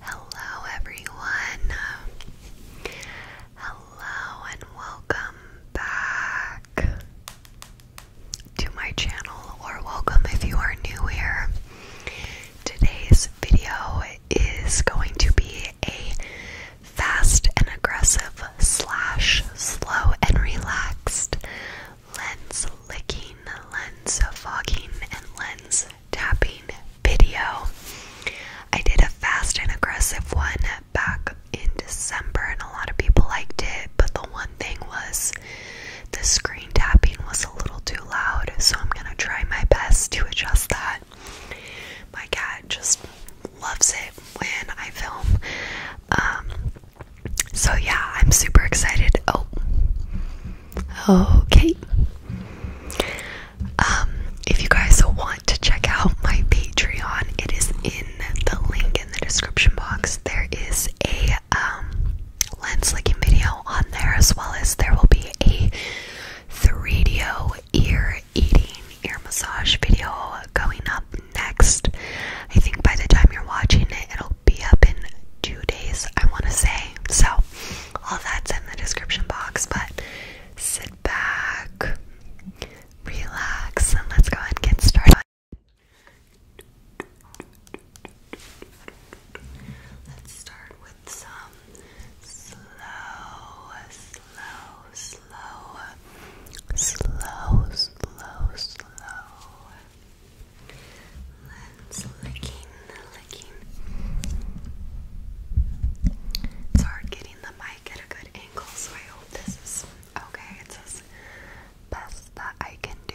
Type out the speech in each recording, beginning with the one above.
Hello, everyone. Hello, and welcome back to my channel, or welcome if you are new here. Today's video is going to be a fast and aggressive, slash, slow and relaxed, lens licking, lens fogging, and lens tapping video. I did a fast and aggressive one back in December, and a lot of people liked it, but the one thing was the screen tapping was a little too loud, so I'm gonna try my best to adjust that. My cat just loves it when I film. Um, so yeah, I'm super excited. Oh, okay. Um, if you guys want to check out my Patreon, it is in the link in the description box. There is a um, lens licking video on there, as well as there will be a 3 d ear eating, ear massage video going up next. I think by the time you're watching it, it'll be up in two days, I want to say. So, all that's in the description box. But sit back, relax, and let's go ahead and get started. Let's start with some slow, slow, slow, slow, slow, slow. Let's licking, licking. It's hard getting the mic at a good angle, so I hope this is okay. It's as best that I can do.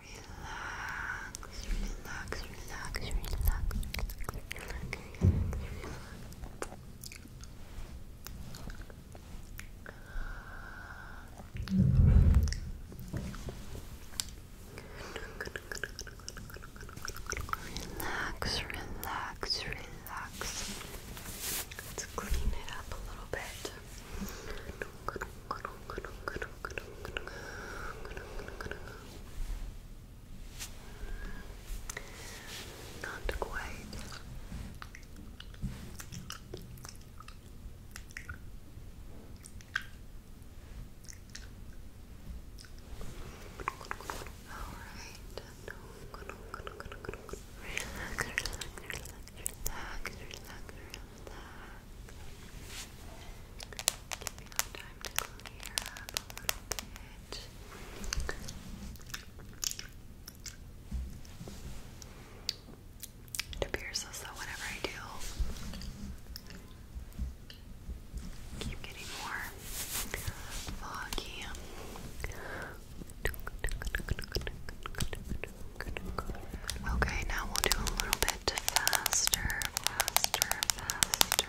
relax, relax, relax, relax, relax, relax, relax, Let's clean it up a little bit. Not quite. All right relax. Give yourself time to clear up a little bit. It appears as though whenever I do, keep getting more foggy. Okay, now we'll do a little bit faster, faster, faster.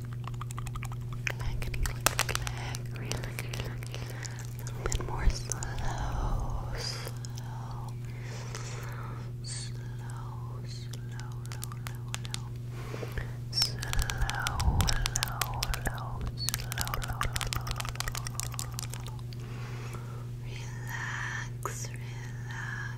Click, click, click. Relax, A little bit more slow, slow, slow, slow, slow, slow, slow. Slow, low, low, low, slow, low, low, low, low, low, low, low. Relax, relax,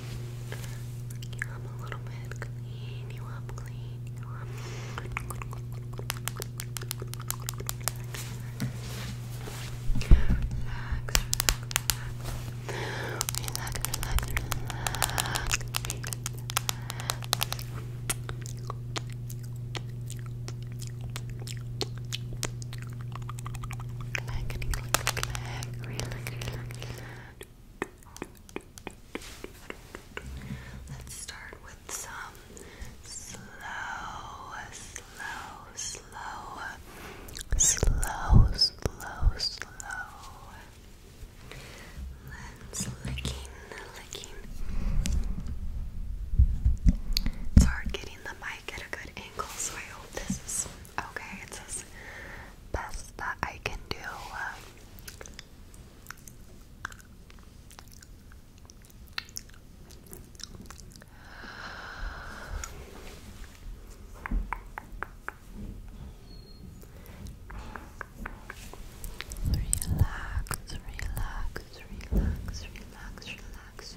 Clean you a little bit. Clean you up, clean relax. Relax. Let's start with some slow, slow, slow, slow, slow, slow. Let's licking, licking. It's hard getting the mic at a good angle, so I hope this is Okay, it's says best that I can do. Relax, relax, relax, relax, relax.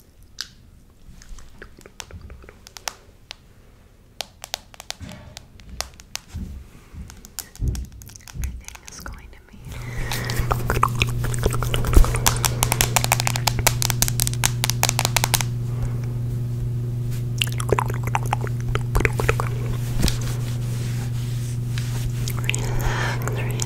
Everything is going to me. Relax, relax.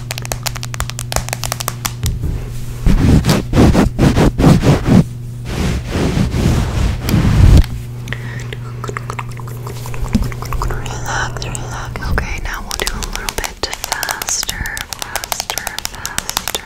Relax, relax. Okay, now we'll do a little bit faster, faster, faster.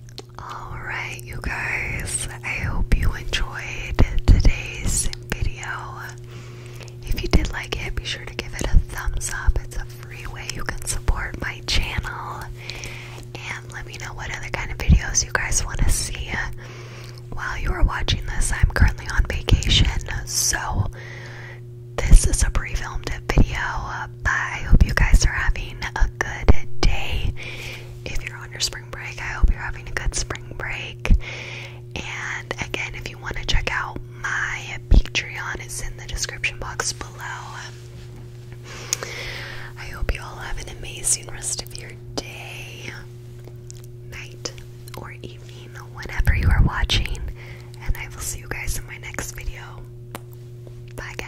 Alright, you guys, I hope you enjoyed today's video. If you did like it, be sure to give it a thumbs up. It's a free way you can support my channel. And let me know what other kind of videos you guys want to see. While you are watching this, I'm currently on vacation, so this is a pre filmed video. I hope you guys are having a good day. If you're on your spring break, I hope you're having a good spring break. And again, if you want to check out my Patreon, it's in the description box below. I hope you all have an amazing rest of your day, night, or evening, whenever you are watching. And I will see you guys in my next video. Bye, guys.